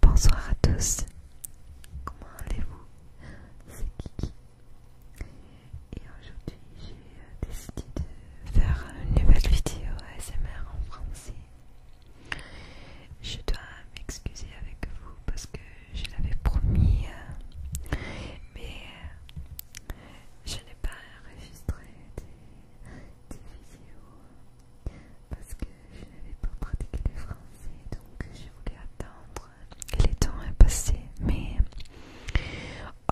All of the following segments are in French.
Bonsoir à tous, comment allez-vous C'est Kiki et aujourd'hui j'ai euh, décidé de faire une nouvelle vidéo ASMR en français. Je dois m'excuser avec vous parce que je l'avais promis euh, mais euh, je n'ai pas enregistré de vidéo parce que je n'avais pas pratiqué le français donc je voulais attendre que le temps est passé mais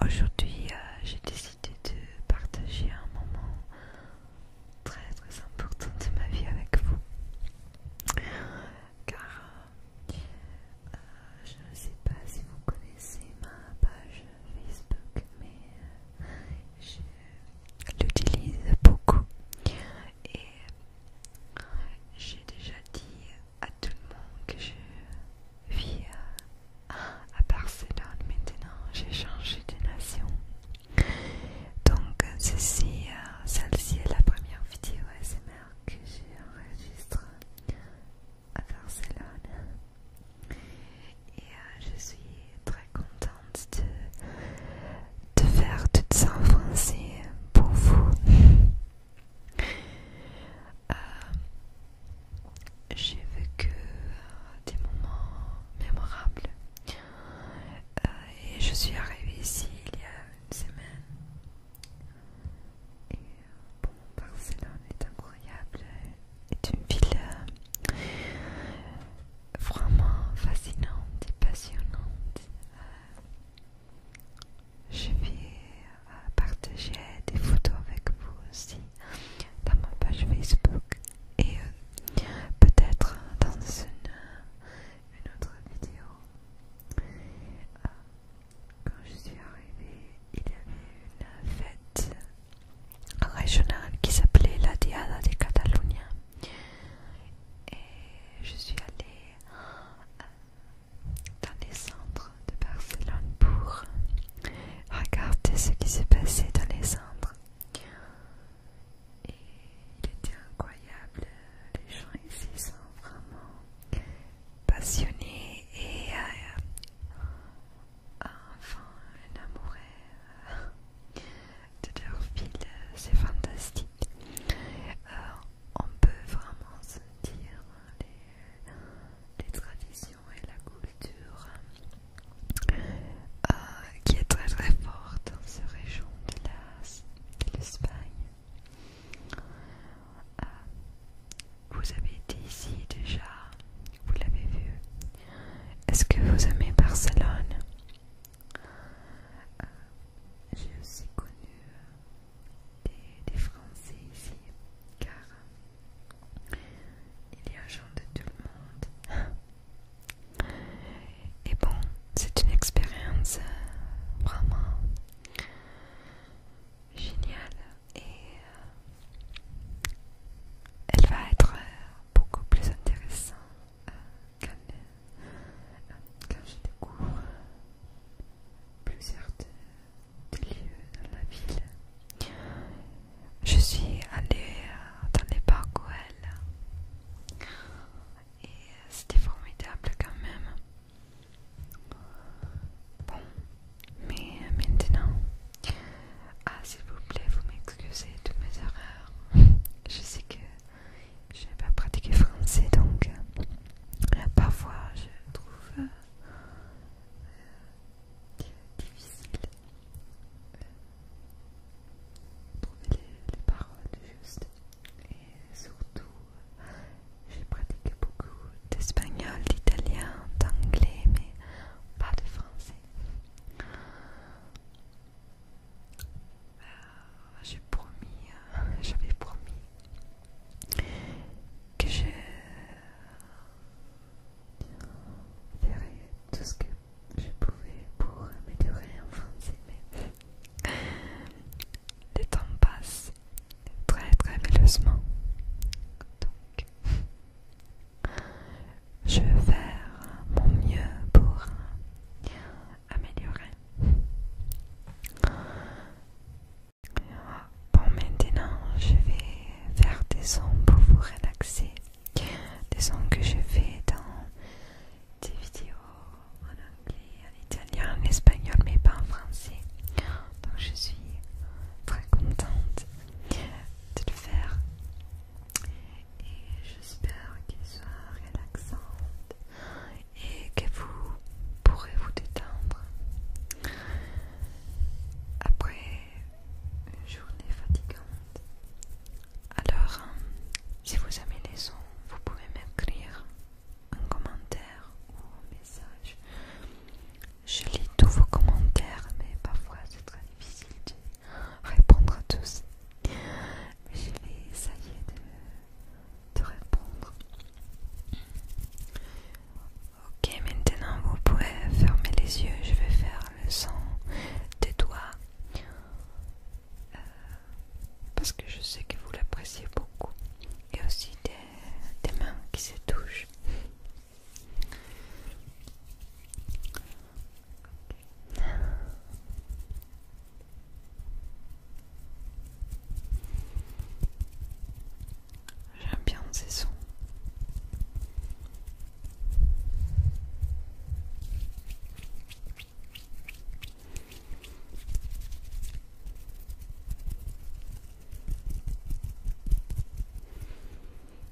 aujourd'hui euh, j'ai décidé de partager un moment très très important de ma vie avec vous car euh, euh, je ne sais pas si vous connaissez ma page Facebook mais je l'utilise beaucoup et j'ai déjà dit à tout le monde que je vis à Barcelone maintenant, j'ai changé de nation. Donc ceci, euh, celle-ci est la première vidéo SMR que j'ai enregistrée à Barcelone. Et euh, je suis très contente de, faire tout ça en français pour vous. Euh, j'ai vécu euh, des moments mémorables. et je suis arrivée ici il y a une semaine. Et bon, Barcelone est incroyable, est une ville euh, vraiment fascinante et passionnante. Euh, je vais euh, partager des photos avec vous aussi dans ma page Facebook et peut-être dans une, une autre vidéo. quand je suis arrivée, il y avait une fête régional qui s'appelait la Diada de Catalunya. Et je suis allée euh, dans les centres de Barcelone pour regarder ce qui s'est passé dans les centres. Et il était incroyable, les gens ici sont vraiment passionnés et euh, enfin un amoureux de leur ville, euh, c'est fantastique. Euh, on peut vraiment sentir les, traditions et la culture euh, qui est très très forte dans cette région de l'Espagne. vous avez été ici déjà, vous l'avez vu, est-ce que vous aimez Barcelone euh, J'ai aussi connu euh, des, Français ici, car il y a gens de tout le monde. Et bon, c'est une expérience euh, vraiment géniale et elle va être beaucoup plus intéressant euh, euh, euh, quand, je découvre plusieurs lieux dans la ville. Je suis allée dans les parcs elle et c'était formidable quand même. Bon, mais maintenant ah, s'il vous plaît, vous m'excusez de mes erreurs. Je sais que je n'ai pas pratiqué français, donc euh, parfois je trouve euh, difficile de euh, trouver les, les paroles justes. Et surtout, j'ai pratiqué beaucoup d'espagnol, d'italien, d'anglais, mais pas de français. Euh, j'ai promis, euh, j'avais promis que je ferai tout ce que je pouvais pour améliorer en français, mais le temps passe très très malheureusement Donc, je vais faire mon mieux pour améliorer. Bon, maintenant je vais faire des sons pour vous relaxer. Des sons que je fais dans des vidéos en anglais, en italien, en espagnol, mais pas en français. Donc je suis très contente de le faire et j'espère qu'elle soit relaxante et que vous pourrez vous détendre après une journée fatigante. Alors, si vous aimez les sons, vous pouvez m'écrire un commentaire ou un message. Je lis tous vos commentaires, mais parfois c'est très difficile répondre à tous. je vais essayer de, répondre. Ok, maintenant vous pouvez fermer les yeux. Je vais faire le son des doigts. Euh, parce que je sais que vous l'appréciez beaucoup. Et aussi des mains qui se touchent. J'aime bien ces sons.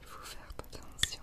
Il faut faire attention.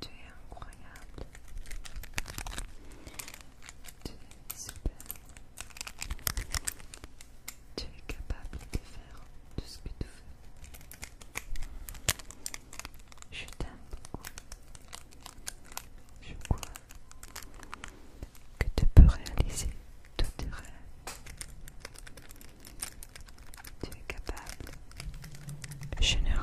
Tu es incroyable. Tu es super. Tu es capable de faire tout ce que tu veux. Je t'aime beaucoup. Je crois que tu peux réaliser tous tes rêves. Tu es capable, généreux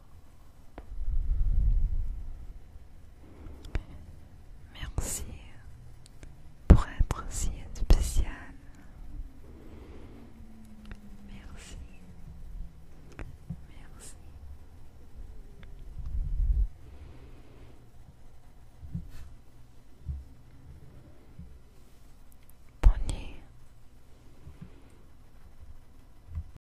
Merci pour être si spécial. Merci. Merci. Bonne nuit.